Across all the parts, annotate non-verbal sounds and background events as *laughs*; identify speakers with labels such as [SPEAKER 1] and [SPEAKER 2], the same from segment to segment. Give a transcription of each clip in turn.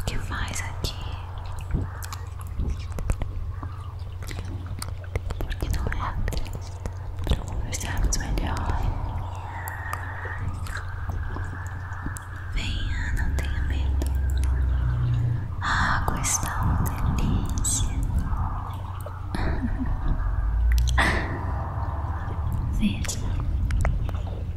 [SPEAKER 1] O que faz aqui? Porque não é para conversarmos melhor. Venha, não tenha medo. Ah, água está uma delícia. *laughs* Veja,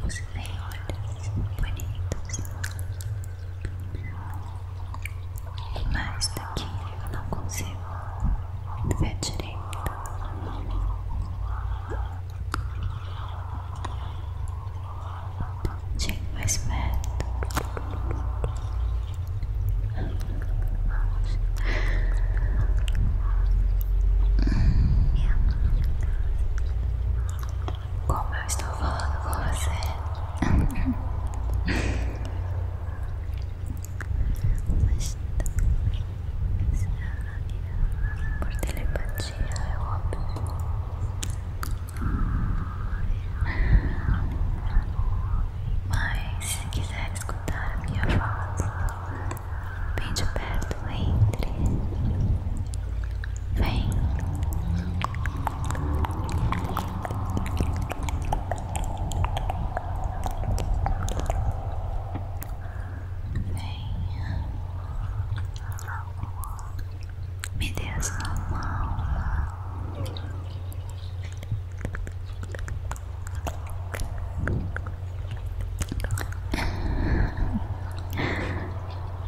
[SPEAKER 1] Você tem olhos bonitos, mas daqui eu não consigo ver direito. Chegue mais perto. Como eu estou falando com você? Tá. Por telepatia mentira, é óbvio. Mas se quiser escutar a minha voz, bem de perto, entre. Vem. vem. Me dê a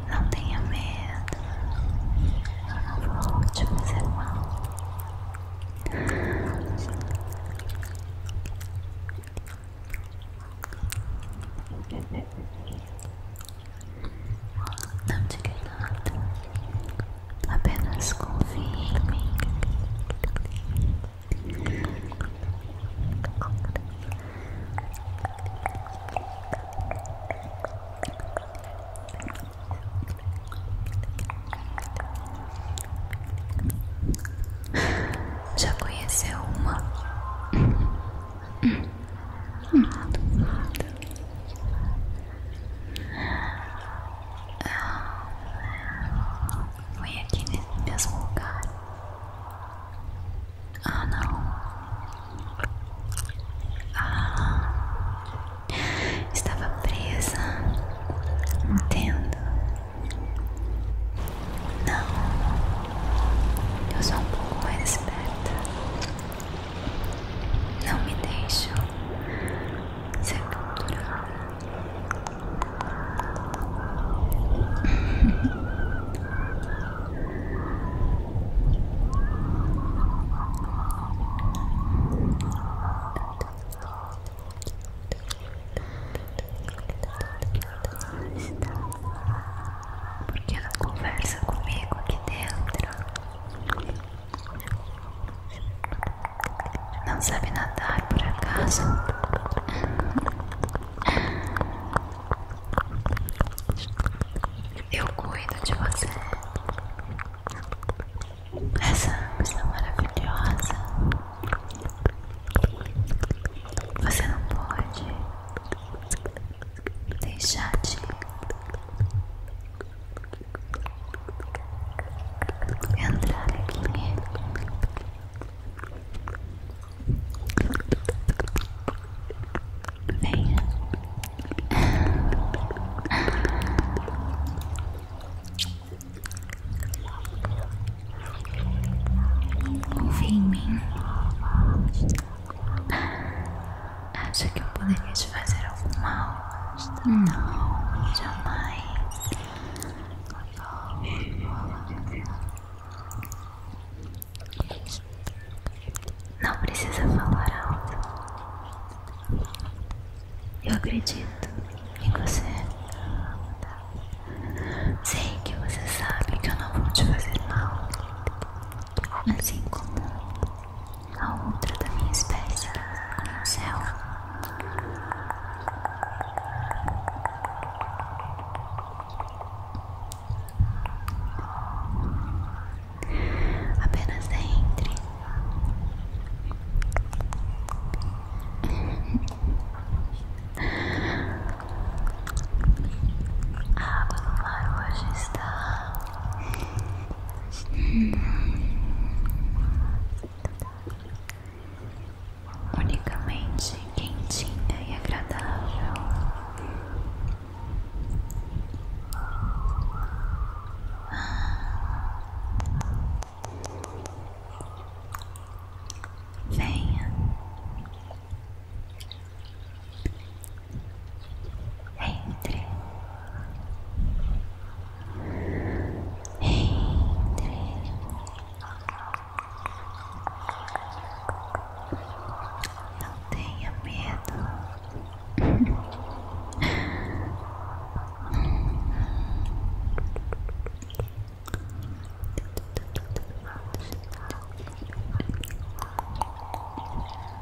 [SPEAKER 1] Não tenha medo. Eu não vou te fazer mal. Não diga nada, apenas confie em mim. Já conheceu uma? Ah, foi aqui nesse mesmo lugar. Ah, não. Ah, estava presa. Entendo. Não, eu sou um pouco mais esperta. Não me deixam sepulturar. *laughs* Porque não conversa comigo aqui dentro? Não sabe nadar por acaso? Eu cuido de você. Essa é uma maravilhosa. Você não pode deixar de entrar aqui nele. Venha. Confia em mim. Acha que eu poderia te fazer algum mal? Não, jamais. Não precisa falar alto. Eu acredito em você. Sei que você sabe que eu não vou te fazer mal assim como a outra da minha espécie, como céu. Apenas entre. A água do mar hoje está. unicamente quentinha e agradável. Venha. Entre. Entre. Não tenha medo.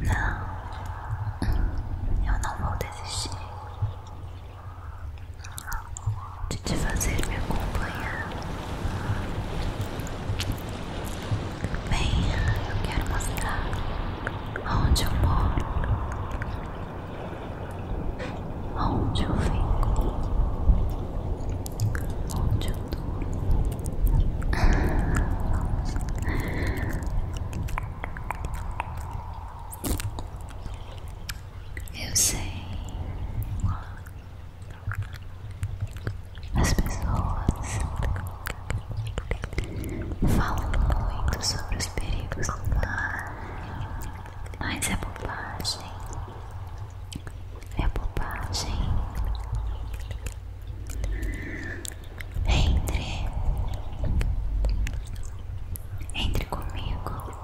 [SPEAKER 1] Não, eu não vou desistir de te fazer me acompanhar. bem eu quero mostrar onde eu moro, onde eu fico, onde eu durmo. Eu sei, as pessoas. Falam muito sobre os perigos do mar, mas é bobagem. É bobagem. Entre, entre comigo.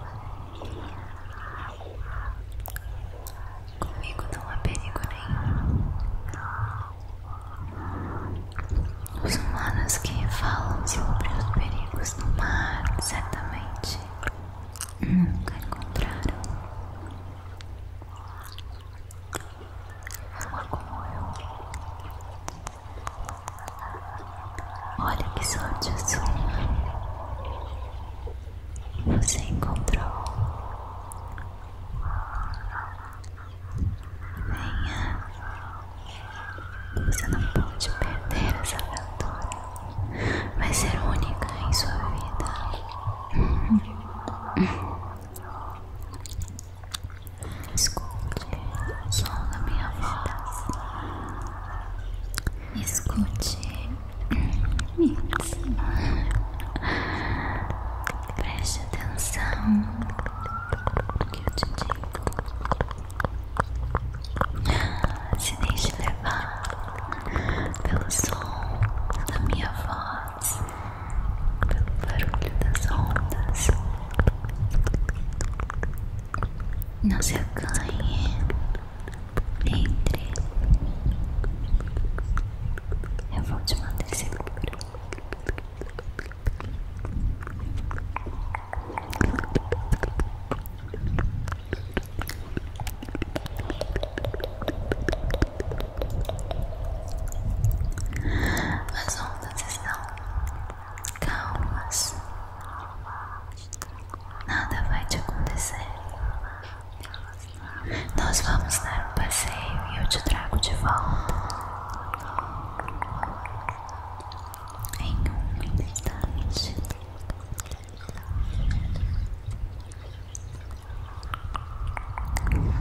[SPEAKER 1] Comigo não há perigo nenhum. Os humanos que falam sobre os perigos do mar certamente nunca encontraram uma como eu. Olha que sorte sua! Você encontrou Venha. Você não pode perder essa aventura. Vai ser única em sua vida. Escute o som da minha voz. Escute. Preste atenção que ah, eu te digo. Se deixe levar pelo som da minha voz, pelo barulho das ondas. Não se acanhe, entre. Eu vou te manter seguro. As ondas estão calmas, nada vai te acontecer. Nós vamos dar um passeio e eu te trago de volta em um instante. Hum.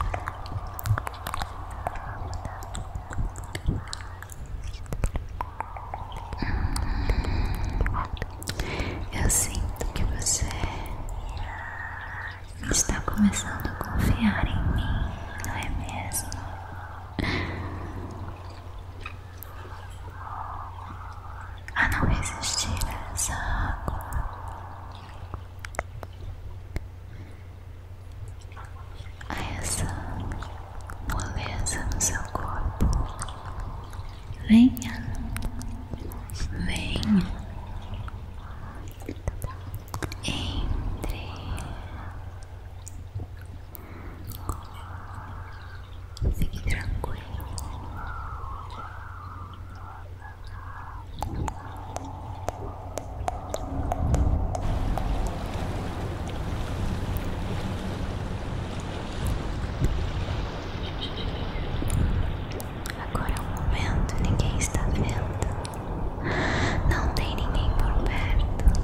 [SPEAKER 1] Eu sinto que você está começando a confiar em mim, não é mesmo? a não resistir a essa água. A essa moleza no seu corpo. Venha, venha entre fique tranquilo. Agora é o um momento, ninguém está vendo. Não tem ninguém por perto.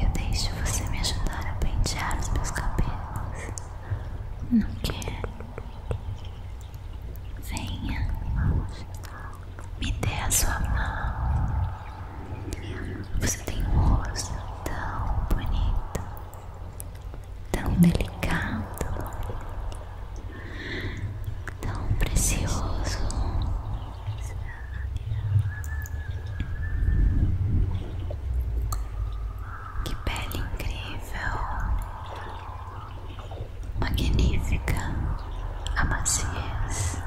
[SPEAKER 1] Eu deixo você me ajudar a pentear os meus cabelos. Não quer? Venha, me dê a sua mão. Você tem um rosto tão bonito tão delicado, tão precioso. Que pele incrível, magnífica a maciez.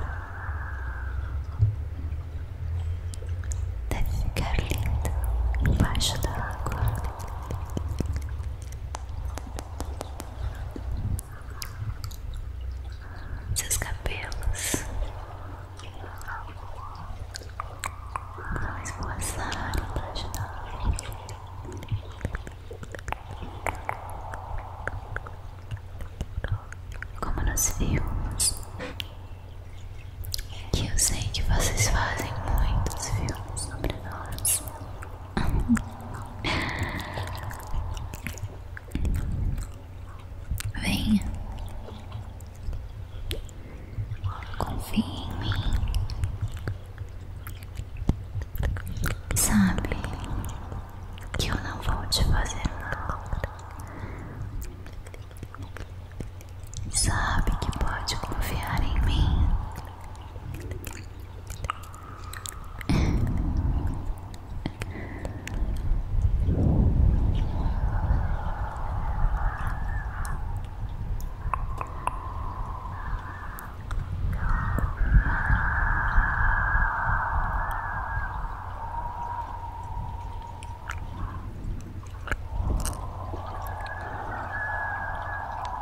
[SPEAKER 1] Deve ficar linda embaixo da água seus cabelos vão esvoaçar para ajudar. Como nos filmes, que eu sei que vocês fazem muitos filmes sobre nós. Venha. Confie em mim. Sabe que eu não vou te fazer nada Sabe que pode confiar em mim.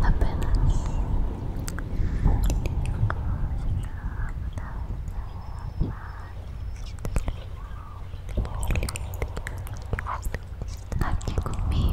[SPEAKER 1] apenas Aqui comigo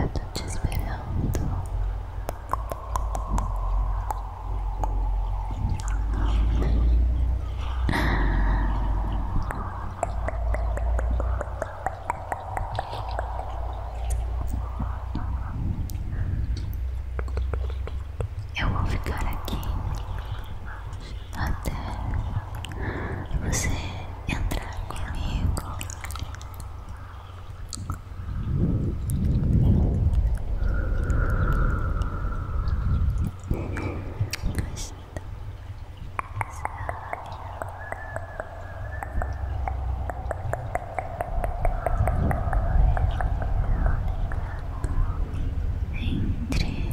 [SPEAKER 1] Eu tô te esperando. *laughs* Eu vou ficar aqui até você entrar comigo entre entre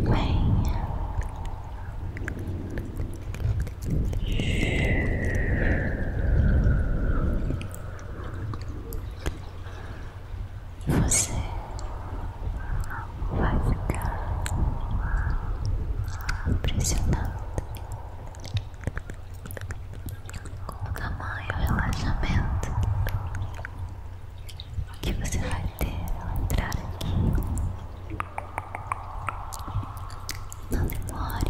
[SPEAKER 1] venha Venha, você vai ficar impressionado com o tamanho e o relaxamento que você vai ter ao entrar aqui. Não demore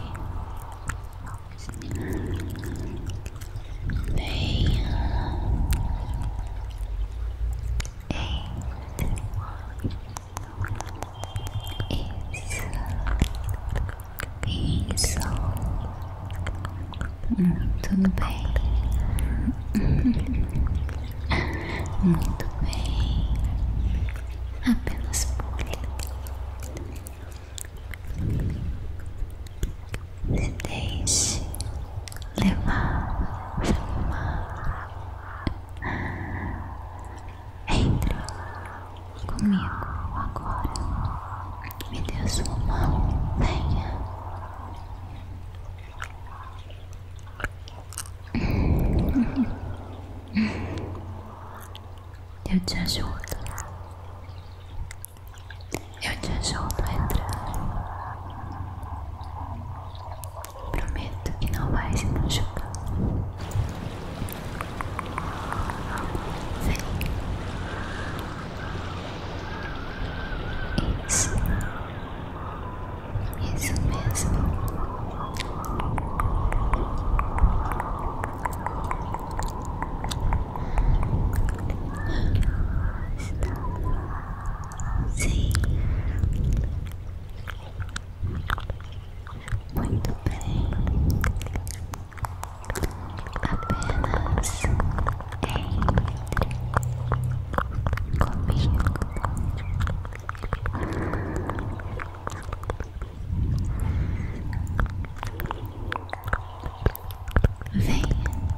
[SPEAKER 1] bem isso, isso, hum, tudo bem, muito bem, apenas pule se deixe levar, levar. entra comigo agora. Me dê sua mão, venha. Eu te ajudo. Eu te ajudo a entrar. Prometo que não vai se machucar. Isso. Isso mesmo. Sim. Muito bem. Apenas entre comigo. Venha